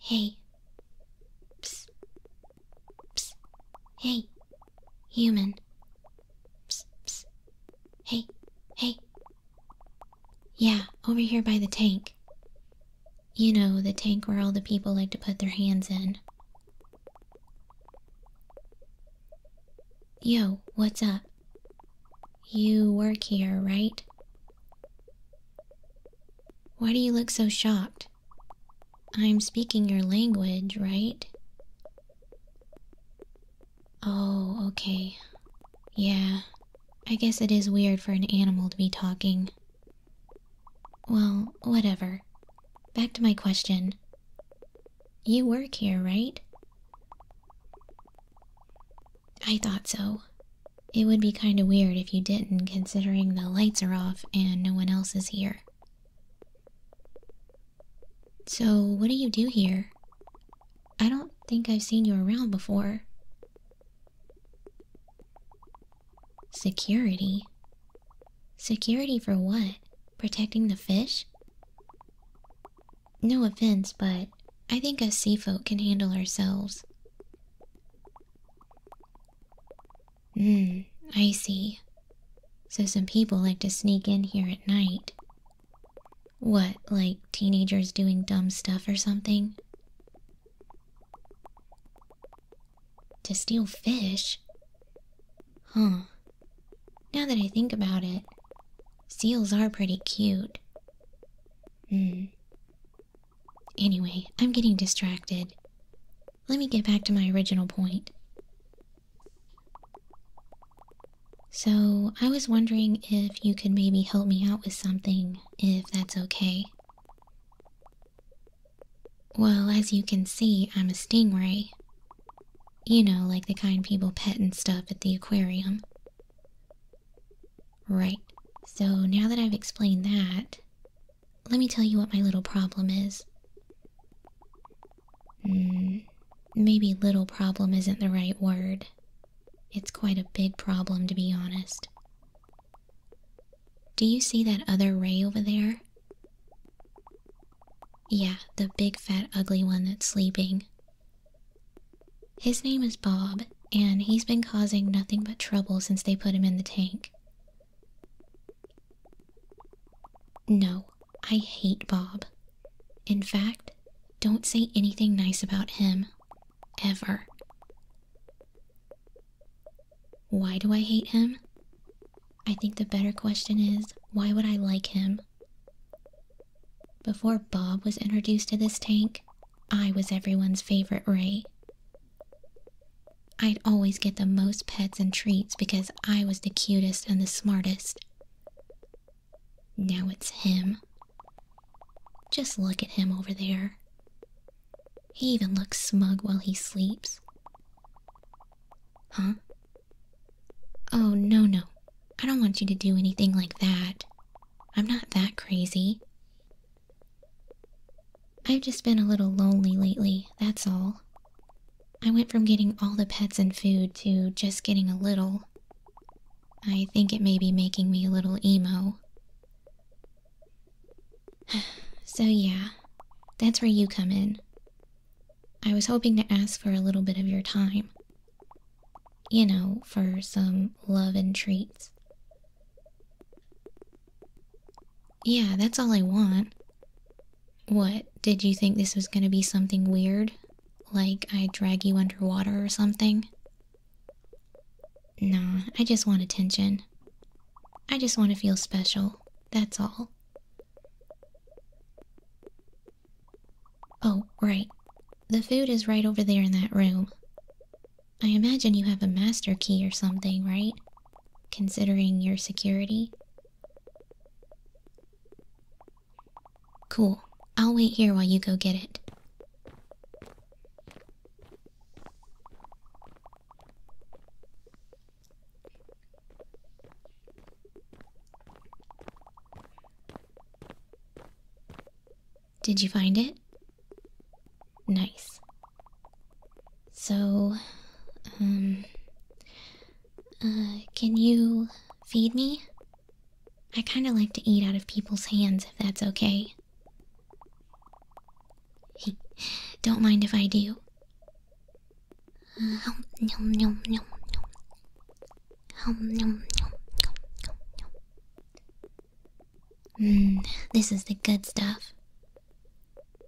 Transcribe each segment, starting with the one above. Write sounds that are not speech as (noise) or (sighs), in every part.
Hey. Psst. Psst. Hey. Human. Psst. Psst. Hey. Hey. Yeah, over here by the tank. You know, the tank where all the people like to put their hands in. Yo, what's up? You work here, right? Why do you look so shocked? I'm speaking your language, right? Oh, okay. Yeah, I guess it is weird for an animal to be talking. Well, whatever. Back to my question. You work here, right? I thought so. It would be kinda weird if you didn't, considering the lights are off and no one else is here. So, what do you do here? I don't think I've seen you around before. Security? Security for what? Protecting the fish? No offense, but I think us sea folk can handle ourselves. Hmm, I see. So some people like to sneak in here at night. What, like teenagers doing dumb stuff or something? To steal fish? Huh. Now that I think about it, Seals are pretty cute. Hmm. Anyway, I'm getting distracted. Let me get back to my original point. So, I was wondering if you could maybe help me out with something, if that's okay. Well, as you can see, I'm a stingray. You know, like the kind people pet and stuff at the aquarium. Right, so now that I've explained that, let me tell you what my little problem is. Mm, maybe little problem isn't the right word. It's quite a big problem, to be honest. Do you see that other ray over there? Yeah, the big fat ugly one that's sleeping. His name is Bob, and he's been causing nothing but trouble since they put him in the tank. No, I hate Bob. In fact, don't say anything nice about him. Ever. Why do I hate him? I think the better question is why would I like him? Before Bob was introduced to this tank, I was everyone's favorite Ray. I'd always get the most pets and treats because I was the cutest and the smartest. Now it's him. Just look at him over there. He even looks smug while he sleeps. Huh? Oh, no, no. I don't want you to do anything like that. I'm not that crazy. I've just been a little lonely lately, that's all. I went from getting all the pets and food to just getting a little. I think it may be making me a little emo. (sighs) so, yeah, that's where you come in. I was hoping to ask for a little bit of your time, you know, for some love and treats. Yeah, that's all I want. What, did you think this was gonna be something weird? Like I drag you underwater or something? Nah, I just want attention. I just want to feel special, that's all. Oh, right. The food is right over there in that room. I imagine you have a master key or something, right? Considering your security? Cool. I'll wait here while you go get it. Did you find it? Nice. So, um, uh, can you feed me? I kind of like to eat out of people's hands if that's okay. don't mind if I do. Uh, Mmm, this is the good stuff.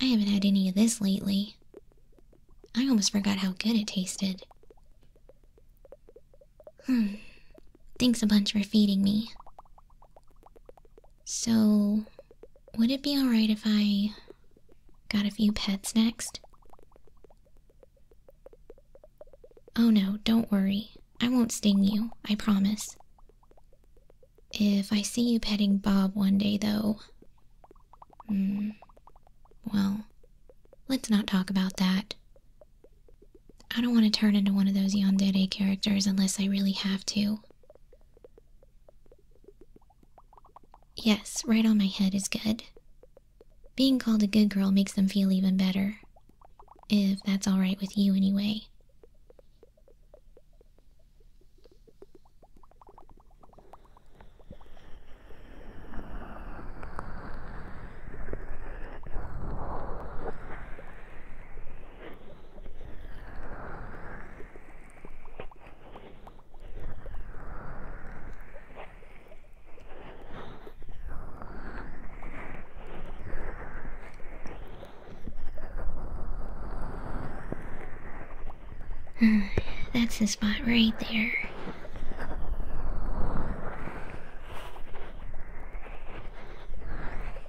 I haven't had any of this lately. I almost forgot how good it tasted. Hmm, thanks a bunch for feeding me. So, would it be alright if I got a few pets next? Oh no, don't worry. I won't sting you, I promise. If I see you petting Bob one day, though. Hmm. Well, let's not talk about that. I don't want to turn into one of those Yandere characters unless I really have to. Yes, right on my head is good. Being called a good girl makes them feel even better. If that's alright with you, anyway. (sighs) That's the spot right there.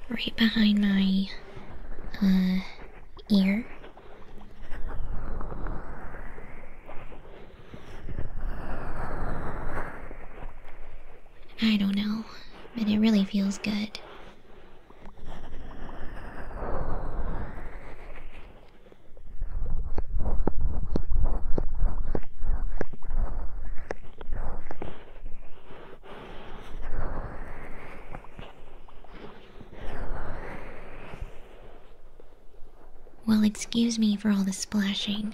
Right behind my, uh, ear. I don't know, but it really feels good. Well, excuse me for all the splashing.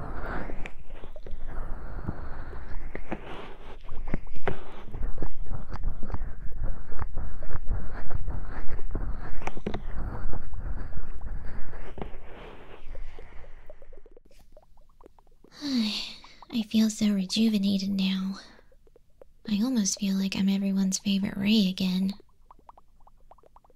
I feel so rejuvenated now. I almost feel like I'm everyone's favorite Ray again.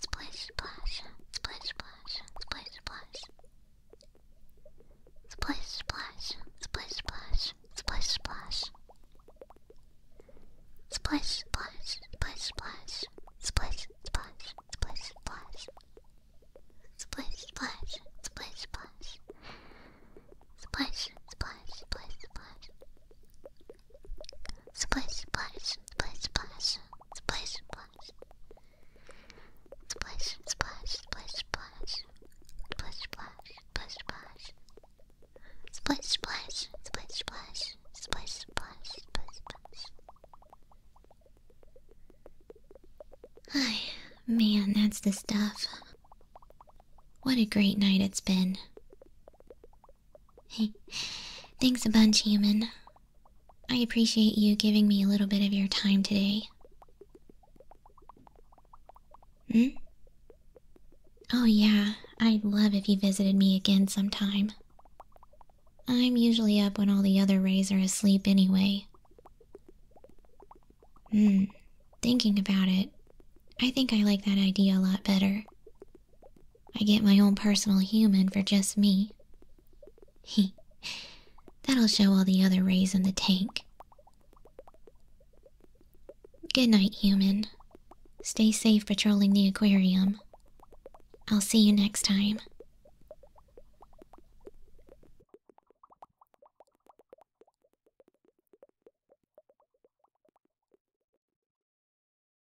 Splash splash, splash splash, splash splash. Splash splash, splash splash, splash splash. Splash splash, splash splash, splash splash, splash splash. Splash splash, splash splash. Splash splash, splash splash. Splash, splash, splash, splash, splash, splash. Splash, splash, splash, splash. Splash, splash, splash, splash. Splash, splash, splash, splash. Splash, splash, splash, splash. Hi, man, that's the stuff. What a great night it's been. Hey, (laughs) thanks a bunch, human. I appreciate you giving me a little bit of your time today. Hmm? Oh, yeah, I'd love if you visited me again sometime. I'm usually up when all the other rays are asleep anyway. Hmm, thinking about it, I think I like that idea a lot better. I get my own personal human for just me. That'll show all the other rays in the tank. Good night, human. Stay safe patrolling the aquarium. I'll see you next time.